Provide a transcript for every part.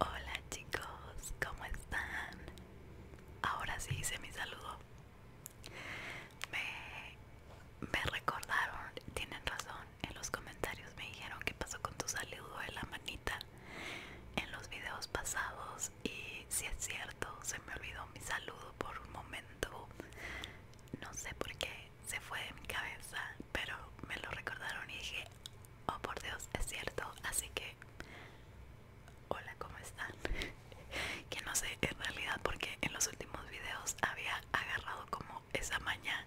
Hola chicos, ¿cómo están? Ahora sí hice mi saludo. Me, recordaron, tienen razón, en los comentarios me dijeron qué pasó con tu saludo de la manita en los videos pasados y si es cierto, se me olvidó mi saludo por un momento. No sé por qué se fue de mi cabeza, pero me lo recordaron y dije, oh por Dios, es cierto, así que hola, ¿cómo están? que no sé en realidad porque en los últimos videos había agarrado como esa maña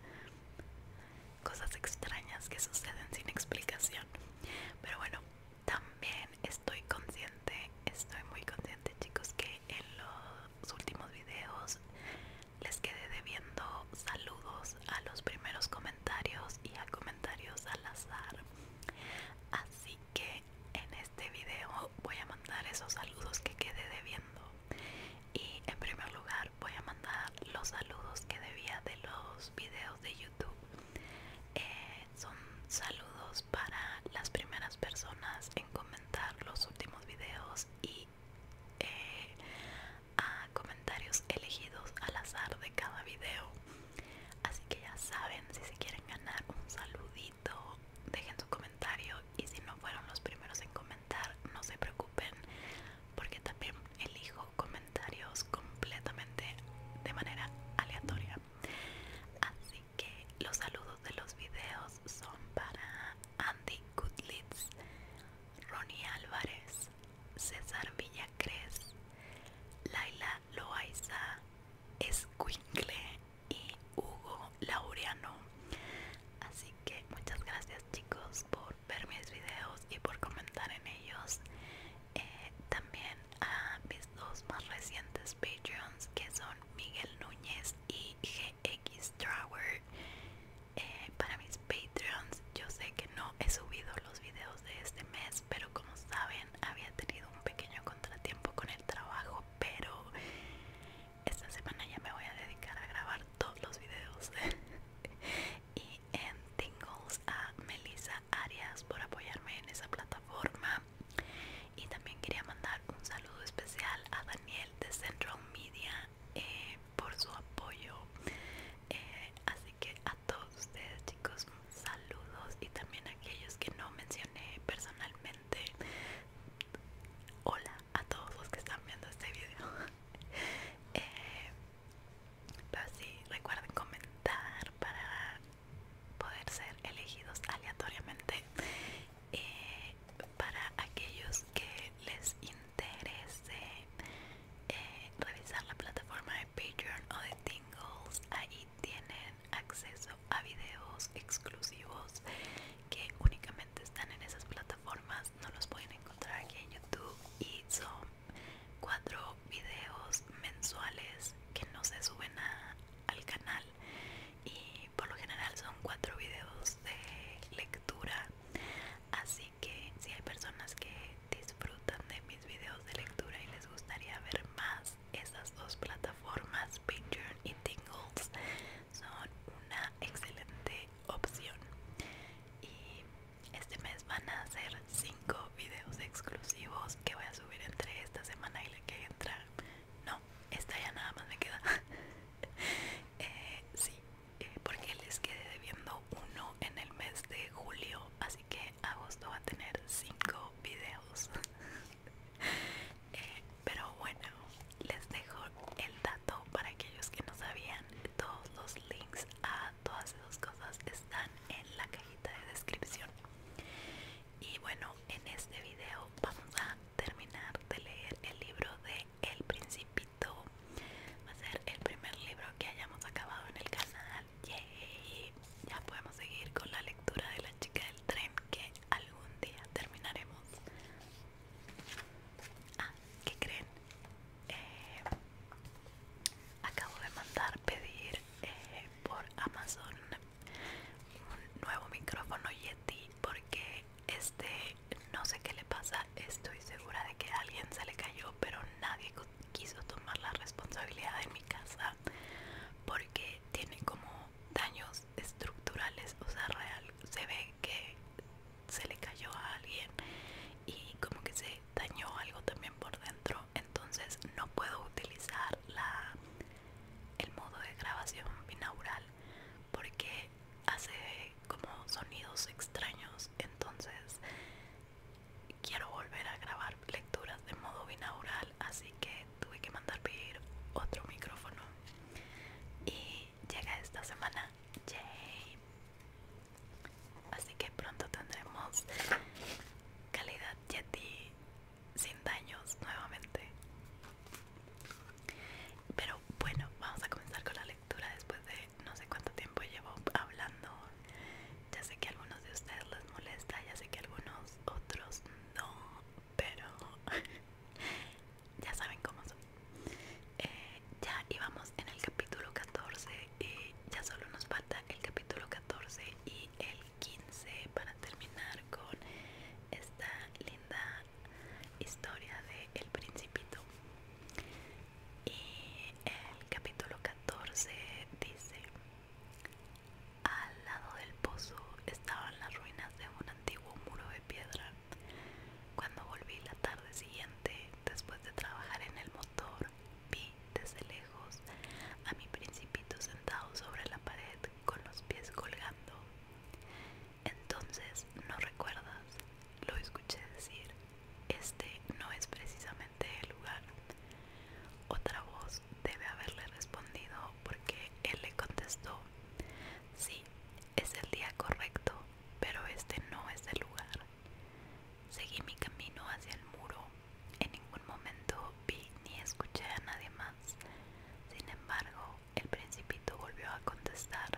cosas extrañas que suceden sin explicación. Pero bueno, también estoy consciente, estoy muy consciente chicos que en los últimos videos les quedé debiendo saludos a los primeros comentarios y a comentarios al azar. Así que en este video voy a mandar esos saludos que quedé debiendo. Y en primer lugar voy a mandar los saludos que debía de los videos de YouTube. Eh, son saludos para las primeras personas en comentar los últimos videos y eh, a comentarios elegidos al azar de cada video. Así que ya saben, si se quieren ganar un saludito, dejen su comentario y si no fueron los primeros en comentar, no se preocupen porque también elijo comentarios completamente de manera aleatoria. Así que los saludos de los videos son para Andy Goodlitz, Ronnie Álvarez, César Villacres, Laila Loaiza, Esquinkle y Hugo Laureano. Así que muchas gracias chicos por ver mis videos y por comentar en ellos. Eh, también a mis dos más recientes Patreons que son Miguel Núñez y GX eh, para mis Patreons. Yo sé que no he subido los videos de este mes, pero como saben, había tenido un pequeño contratiempo con el trabajo. Pero esta semana ya me voy a dedicar a grabar todos los videos. y en Tingles a Melissa Arias por apoyarme en esa plataforma. Y también quería mandar un saludo especial a Daniel de Central Media. Eh, por su apoyo eh, así que a todos ustedes chicos saludos y también a aquellos que no mencioné personalmente hola a todos los que están viendo este video eh, pero recuerden comentar para poder ser elegidos aleatoriamente eh, para aquellos que les interese eh, revisar la plataforma de Patreon o de Tingles, ahí tienen acceso a videos exclusivos que únicamente están en esas plataformas, no los pueden encontrar aquí en YouTube y son cuatro videos mensuales que no se suben al canal y por lo general son cuatro videos de lectura así que si hay personas que disfrutan de mis videos de lectura y les gustaría ver más esas dos plataformas Pinterest y Tingles son una excelente opción y este mes van a hacer 5 videos exclusivos que voy a subir entre esta semana y la que entra no, esta ya nada más me queda eh, sí, eh, porque les quedé debiendo uno en el mes de julio así que agosto va a tener cinco videos eh, pero bueno les dejo el dato para aquellos que no sabían todos los links a todas esas cosas están en la cajita de descripción y bueno en este video vamos a terminar de leer el libro de el Principito. Va a ser el primer libro que hayamos acabado en el canal. y Ya podemos seguir con la lectura de La chica del tren que algún día terminaremos. Ah, ¿qué creen? Eh, acabo de mandar pedir eh, por Amazon un nuevo micrófono Yeti porque este, no sé qué le pasa, estoy segura de que alguien se le cayó, pero nadie quiso tomar la responsabilidad de mi casa porque tiene como daños estructurales, o sea, real, se ve que se le cayó a alguien y como que se dañó algo también por dentro, entonces no puedo utilizar la el modo de grabación binaural porque hace como sonidos extraños entonces quiero volver a grabar lecturas de modo binaural así que tuve que mandar pedir otro micrófono y llega esta semana yay así que pronto tendremos calidad yeti sin daños nuevamente pero bueno vamos a comenzar con la lectura después de no sé cuánto tiempo llevo hablando. Ya sé que algunos de ustedes les molesta, ya sé que algunos otros no, pero ya saben cómo son. Eh, ya íbamos en el capítulo 14 y ya solo nos falta el capítulo 14 y el 15 para terminar con esta linda historia de El Principito. Y el capítulo 14 dice, al lado del pozo estaban las ruinas de un antiguo muro de piedra. Cuando volví la tarde siguiente, después de trabajar en el motor, vi desde lejos a mi principito sentado sobre la pared con los pies colgando. Entonces, ¿no recuerdas? Lo escuché decir, este no es precisamente el lugar. Otra voz debe haberle respondido porque él le contestó, sí, es el día correcto, pero este no es el lugar. Seguí mi camino hacia el muro. En ningún momento vi ni escuché a nadie más. Sin embargo, el principito volvió a contestar,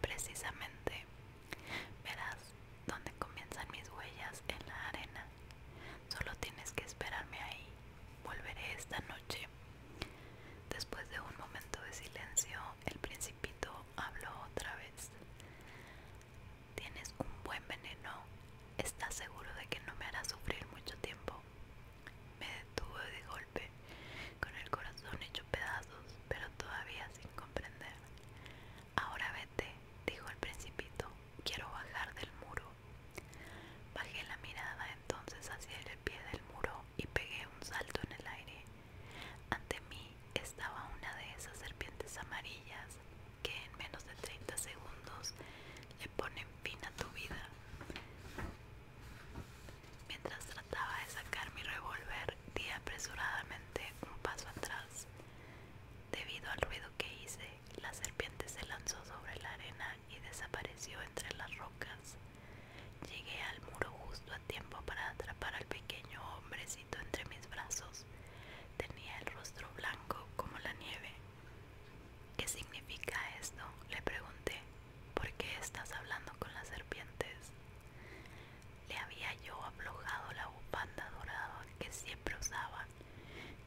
precisamente, verás dónde comienzan mis huellas en la arena. Solo tienes que esperarme ahí. Volveré esta noche. Después de un momento de silencio, el principito habló otra vez. Tienes un buen veneno. ¿Estás seguro de que no me hará sufrir mucho tiempo? Me detuvo de golpe con el corazón hecho pedazos, pero todavía sin comprender. Ahora vete, dijo el principito, quiero bajar del muro. Bajé la mirada entonces hacia el pie del muro y pegué un salto en el aire. Ante mí estaba una de esas serpientes amarillas que en menos de 30 segundos le ponen fin a tu vida. Mientras trataba de sacar mi revólver, di apresuradamente un paso atrás. Debido al ruido que hice, la serpiente se lanzó sobre la arena y desapareció entre las rocas. Llegué al muro justo a tiempo para atrapar al pequeño hombrecito entre mis brazos. Tenía el rostro blanco como la nieve. ¿Qué significa esto? le pregunté. ¿Por qué estás hablando con las serpientes? Le había yo aflojado la upanda dorada que siempre usaba,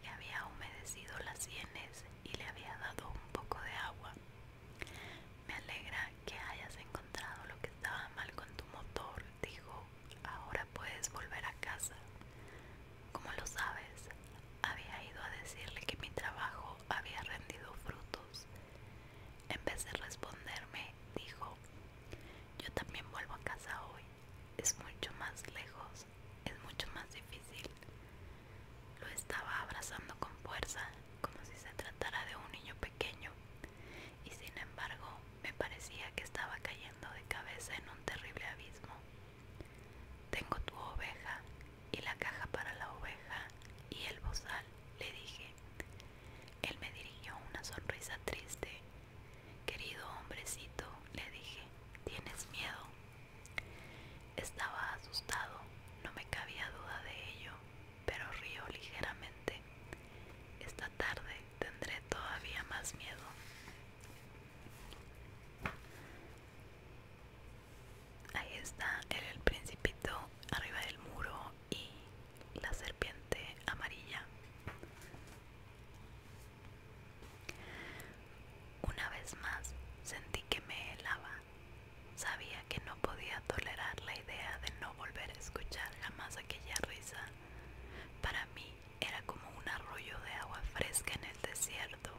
le había humedecido las sienes y le había dado un poco de agua. Me alegra que hayas encontrado lo que estaba mal con tu motor, dijo. Ahora puedes volver a casa. Como lo sabes, había ido a decirle que mi trabajo había rendido frutos en vez de responderme, dijo, yo también vuelvo a casa hoy. Es mucho más lejos, es mucho más difícil. Lo estaba abrazando con fuerza, como si se tratara de un niño pequeño, y sin embargo me parecía que estaba cayendo de cabeza en un terrible abismo. Tengo tu oveja y la caja para la oveja y el bozal, le dije. Él me dirigió una sonrisa triste. Querido hombrecito, le dije, ¿tienes miedo? Estaba asustado, no me cabía duda de ello, pero río ligeramente. Esta tarde tendré todavía más miedo. Ahí está era el principito arriba del muro y la serpiente amarilla. Una vez más sentí que me helaba. Sabía que no podía tolerar la idea de no volver a escuchar jamás aquella risa. Para mí era como un arroyo de agua fresca en el desierto.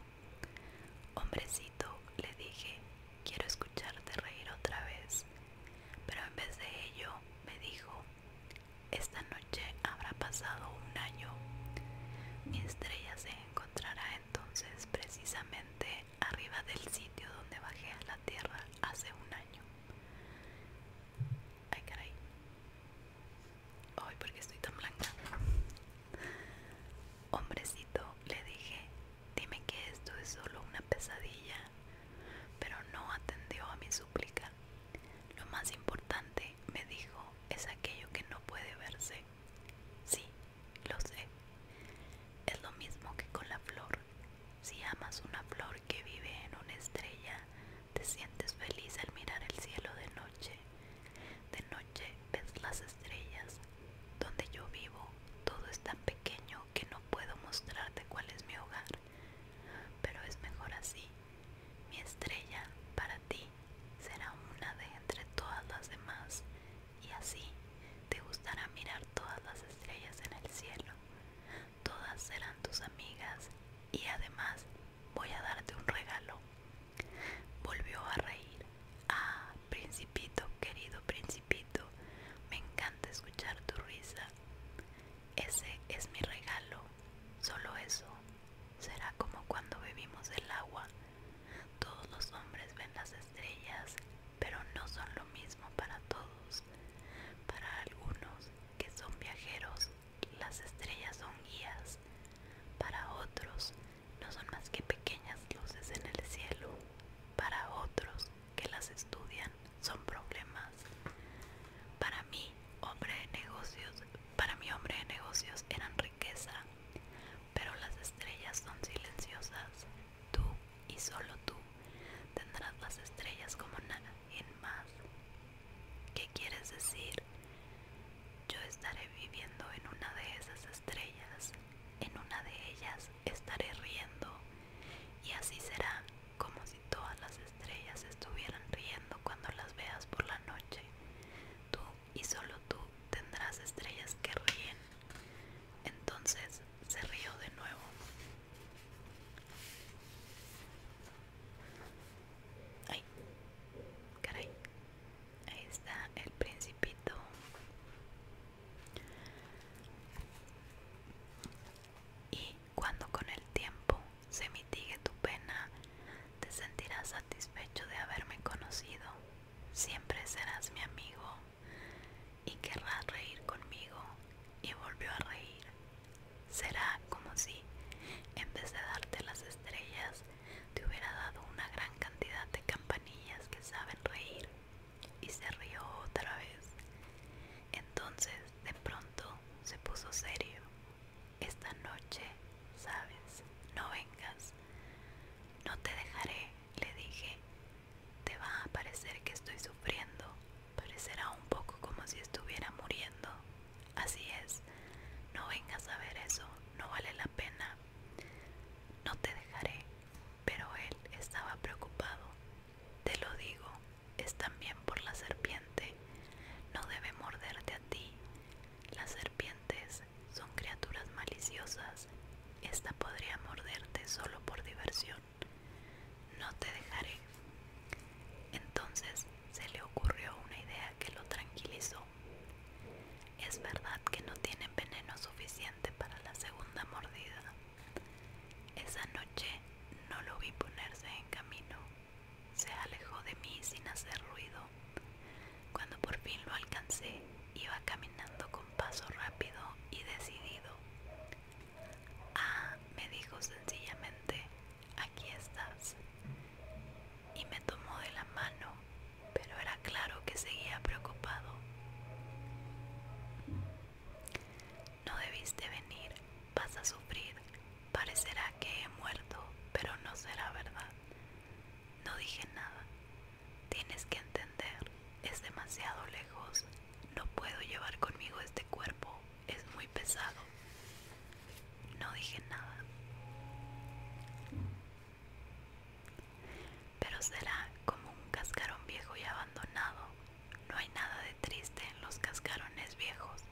Hombrecito, le dije, quiero escucharte reír otra vez. Pero en vez de ello me dijo, esta noche habrá pasado un año. Mi estrella se encontrará entonces precisamente arriba del sitio donde bajé a la tierra hace un año. Ay, caray. Ay, porque estoy tan blanca. Hombrecito, le dije, Dime que esto es solo una pesadilla. Pero no atendió a mi súplica. Lo más importante, me dijo, es aquello que no puede verse. Sí, lo sé. Es lo mismo que con la flor. Si amas una flor que vive en una estrella, te sientes feliz al mirar el cielo de noche. De noche ves las estrellas. Donde yo vivo, todo es tan pequeño que no puedo mostrarte cuál es mi hogar, pero es mejor así. Mi estrella para ti será una de entre todas las demás y así te gustará mirar todas las estrellas en el cielo. Todas serán tus amigas y además voy a darte un regalo. Volvió a reír. Ah, Principito, querido Principito, me encanta escuchar tu risa. Ese es mi regalo, solo eso. Será como cuando bebimos el agua. Todos los hombres ven las estrellas, pero no son lo mismo para todos. Para algunos que son viajeros, las estrellas son guías. Para otros, no son más que pequeñas luces en el cielo. Para otros, que las estudian son problemas. Para mí, hombre de negocios, para mí hombre de negocios eran riqueza, pero las estrellas son silenciosas. Tú y solo tú tendrás las estrellas como nada en más. ¿Qué quieres decir? Yo estaré viviendo en una de esas estrellas en una de ellas estaré riendo y así será como si todas las estrellas estuvieran riendo cuando las veas por la noche. Tú y solo tú tendrás estrellas que ríen. Entonces se rió de nuevo. Ay, caray. Ahí está el principito. Y cuando con el tiempo se mitigue tu pena, te sentirás satisfecho de haberme conocido. Siempre serás mi amigo y querrás reír conmigo. Y volvió a reír. Será como si, en vez de darte las estrellas, te hubiera dado una gran cantidad de campanillas que saben reír y se rió otra vez. Entonces de pronto se puso serio. Esta noche, sabes, no vengas. No te dejaré, le dije. Te va a parecer que estoy sufriendo. Parecerá un poco como si estuviera muriendo. Así es. No vengas a ver eso. No vale la pena. No te dejaré. Pero él estaba preocupado. Te lo digo, es también por la serpiente. No debe morderte a ti. Las serpientes son criaturas maliciosas. Esta podría morderte solo por diversión. No te dejaré. Entonces se le ocurrió una idea que lo tranquilizó. Es verdad que no tienen veneno suficiente para la segunda mordida, esa noche no lo vi ponerse en camino. Se alejó de mí sin hacer ruido. Cuando por fin lo alcancé, iba caminando con paso rápido y decidido. Ah, me dijo sencillamente, aquí estás. Y me tomó de la mano, pero era claro que seguía preocupado. No debiste venir, vas a sufrir, parecerá que he muerto, pero no será verdad. No dije nada. Tienes que entender, es demasiado lejos, no puedo llevar conmigo este cuerpo, es muy pesado. No dije nada. Pero será como un cascarón viejo y abandonado no hay nada de triste en los cascarones viejos.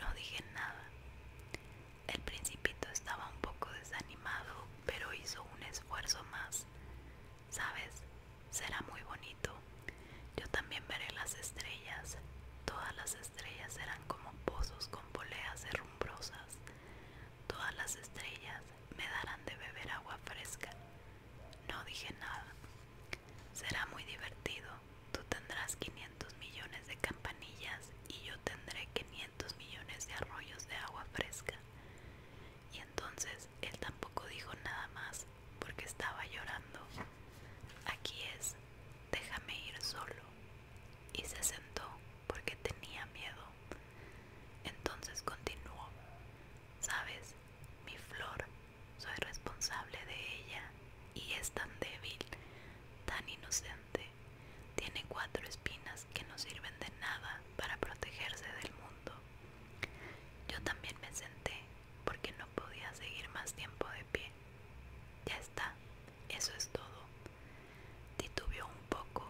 No dije nada. El principito estaba un poco desanimado, pero hizo un esfuerzo más. Sabes, será muy bonito. Yo también veré las estrellas. Todas las estrellas serán como pozos con poleas herrumbrosas. Todas las estrellas me darán de beber agua fresca. No dije nada. Será muy divertido. Tú tendrás 500 millones de campanillas y yo tendré 500 millones de arroyos de agua fresca. Y entonces él tampoco dijo nada más porque estaba llorando. Aquí es, déjame ir solo. Y se sentó porque tenía miedo. Entonces continuó. ¿Sabes? Mi flor, soy responsable de ella y es tan débil, tan inocente. Tiene cuatro espinas que no sirven de nada para protegerse del mundo. Yo también me senté porque no podía seguir más tiempo de pie. Ya está, eso es todo. Titubeó un poco,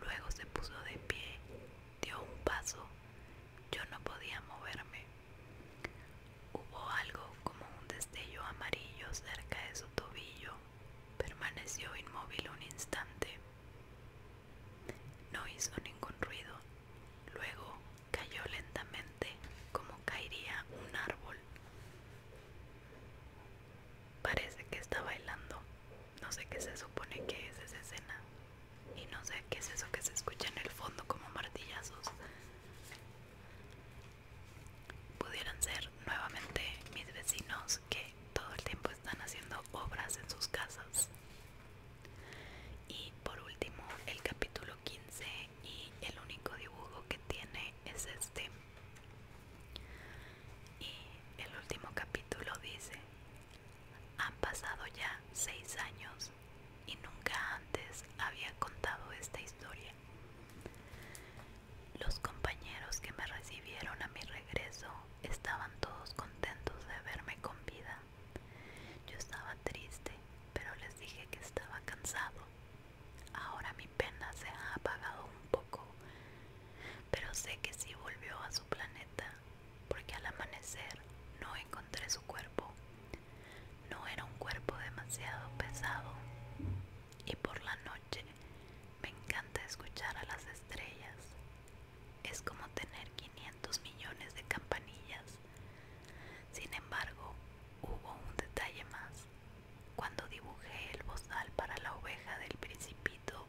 luego se puso de pie dio un paso. Yo no podía moverme. Hubo algo como un destello amarillo cerca de su tobillo. Permaneció inmóvil un instante. No hizo ningún ruido. Luego cayó lentamente como caería un árbol. Parece que está bailando. No sé qué se supone que es esa escena y no sé qué es eso que se escucha en el fondo como martillazos. Pudieran ser nuevamente mis vecinos que todo el tiempo están haciendo obras en sus casas. Y por último, el capítulo 15 y el único dibujo que tiene es este. Y el último capítulo dice, han pasado ya seis años y nunca antes había contado esta historia. Los compañeros que me recibieron a mi regreso estaban todos contentos de verme con vida. Yo estaba triste, pero les dije que estaba cansado. Ahora mi pena se ha apagado un poco, pero sé que si volvió a su planeta porque al amanecer no encontré su cuerpo. No era un cuerpo demasiado pesado. Y por la noche me encanta escuchar a las estrellas. Es como tener 500 millones de campanillas. Sin embargo, hubo un detalle más. Cuando dibujé el bozal para la oveja del principito,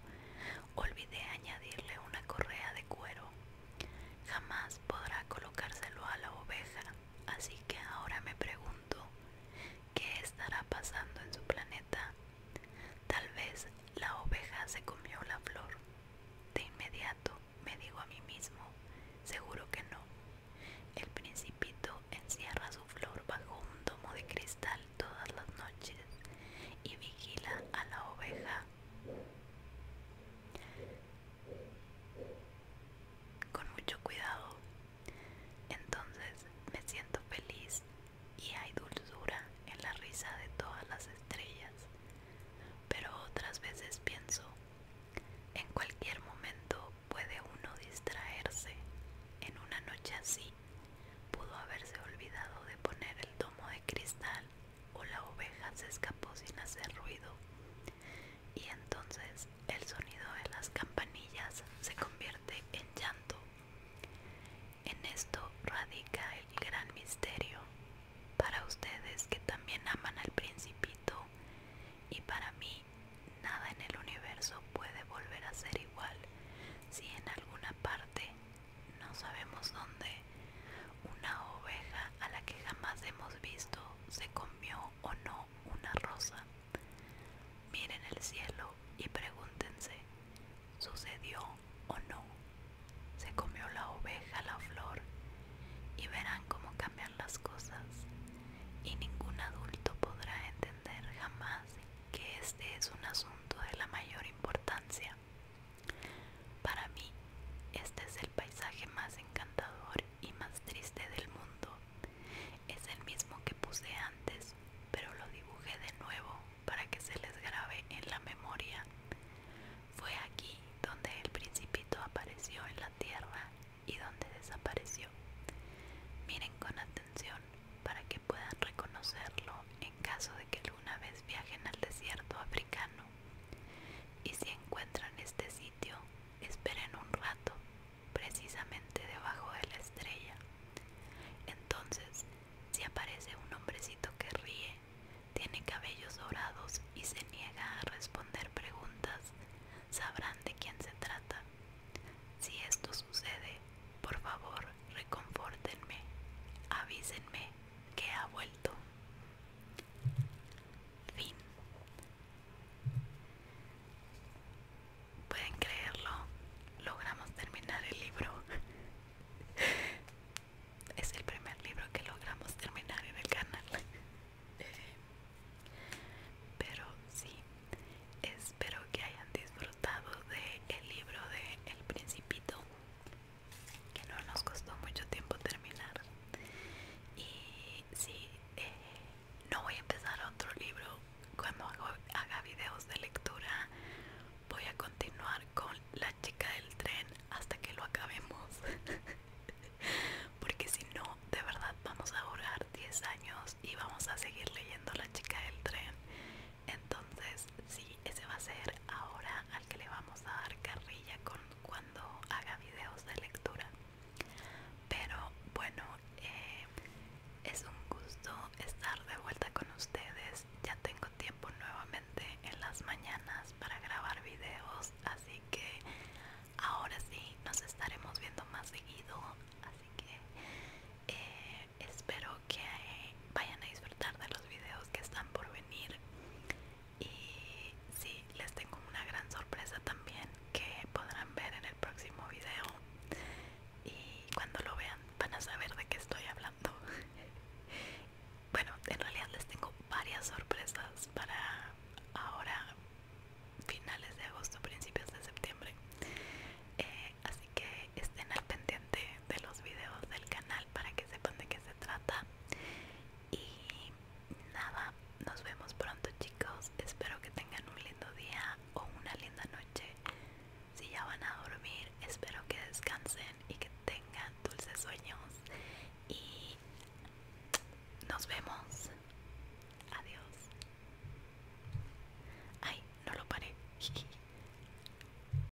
Olvidé añadirle una correa de cuero. Jamás podrá colocárselo a la oveja, así que ahora me pregunto, ¿qué estará pasando en su planeta? Tal vez la oveja se comió la flor. De inmediato me digo a mí mismo, seguro que no. El principito encierra su flor bajo un domo de cristal todas las noches y vigila a la oveja con mucho cuidado. Entonces me siento feliz y hay dulzura en la risa de todas las estrellas. Pero otras veces pienso, en cualquier momento puede uno distraerse. En una noche así pudo haberse olvidado de poner el tomo de cristal o la oveja se escapó sin hacer ruido y entonces el sonido de las campanillas se convierte en llanto. En esto radica el gran misterio para ustedes que también aman al principito y para mí nada en el universo puede volver a ser igual si en alguna parte no sabemos dónde, una oveja a la que jamás hemos visto se comió o no una rosa. Miren el cielo y pregúntense, ¿sucedió o no? Se comió la oveja la flor y verán cómo cambian las cosas y ningún adulto podrá entender jamás que este es un asunto de la mayor importancia. Para mí, este es el paisaje más encantador y más triste del mundo. Es el mismo que puse antes, pero lo dibujé de nuevo para que se les grabe en la memoria. Fue aquí donde el principito apareció en la tierra y donde desapareció. Miren con atención para que puedan reconocerlo caso de que alguna vez viajen al desierto africano. Y si encuentran este sitio, esperen un rato, precisamente debajo de la estrella. Entonces, si aparece un hombrecito que ríe, tiene cabellos dorados y se niega a responder preguntas, sabrán de quién se trata. Si esto sucede, por favor, reconfórtenme, avísenme que ha vuelto. Fin. ¿Pueden creerlo? Logramos terminar el libro. es el primer libro que logramos terminar en el canal. Pero sí, espero que hayan disfrutado De el libro de El Principito que no nos costó mucho tiempo terminar y sí eh, no voy a empezar otro libro cuando haga videos de lectura voy a continuar con la chica del tren hasta que lo acabemos porque si no de verdad vamos a durar 10 años y vamos a seguir leyendo la chica del tren entonces sí ese va a ser ahora al que le vamos a dar carrilla con cuando haga videos de lectura pero bueno eh, es un gusto estar de vuelta con ustedes ya tengo tiempo nuevamente en las mañanas para grabar videos así que ahora sí nos estaremos viendo más seguido así que eh, espero que vayan a disfrutar de los videos que están por venir y sí, les tengo una gran sorpresa también que podrán ver en el próximo video y cuando lo vean van a saber de qué estoy hablando bueno, en realidad les tengo varias sorpresas para ahora finales de agosto, principios de septiembre eh, así que estén al pendiente de los videos del canal para que sepan de qué se trata. Y nada, nos vemos pronto chicos. Espero que tengan un lindo día o una linda noche. Si ya van a dormir, espero que descansen y que tengan dulces sueños. Y nos vemos. Adiós. Ay, no lo paré.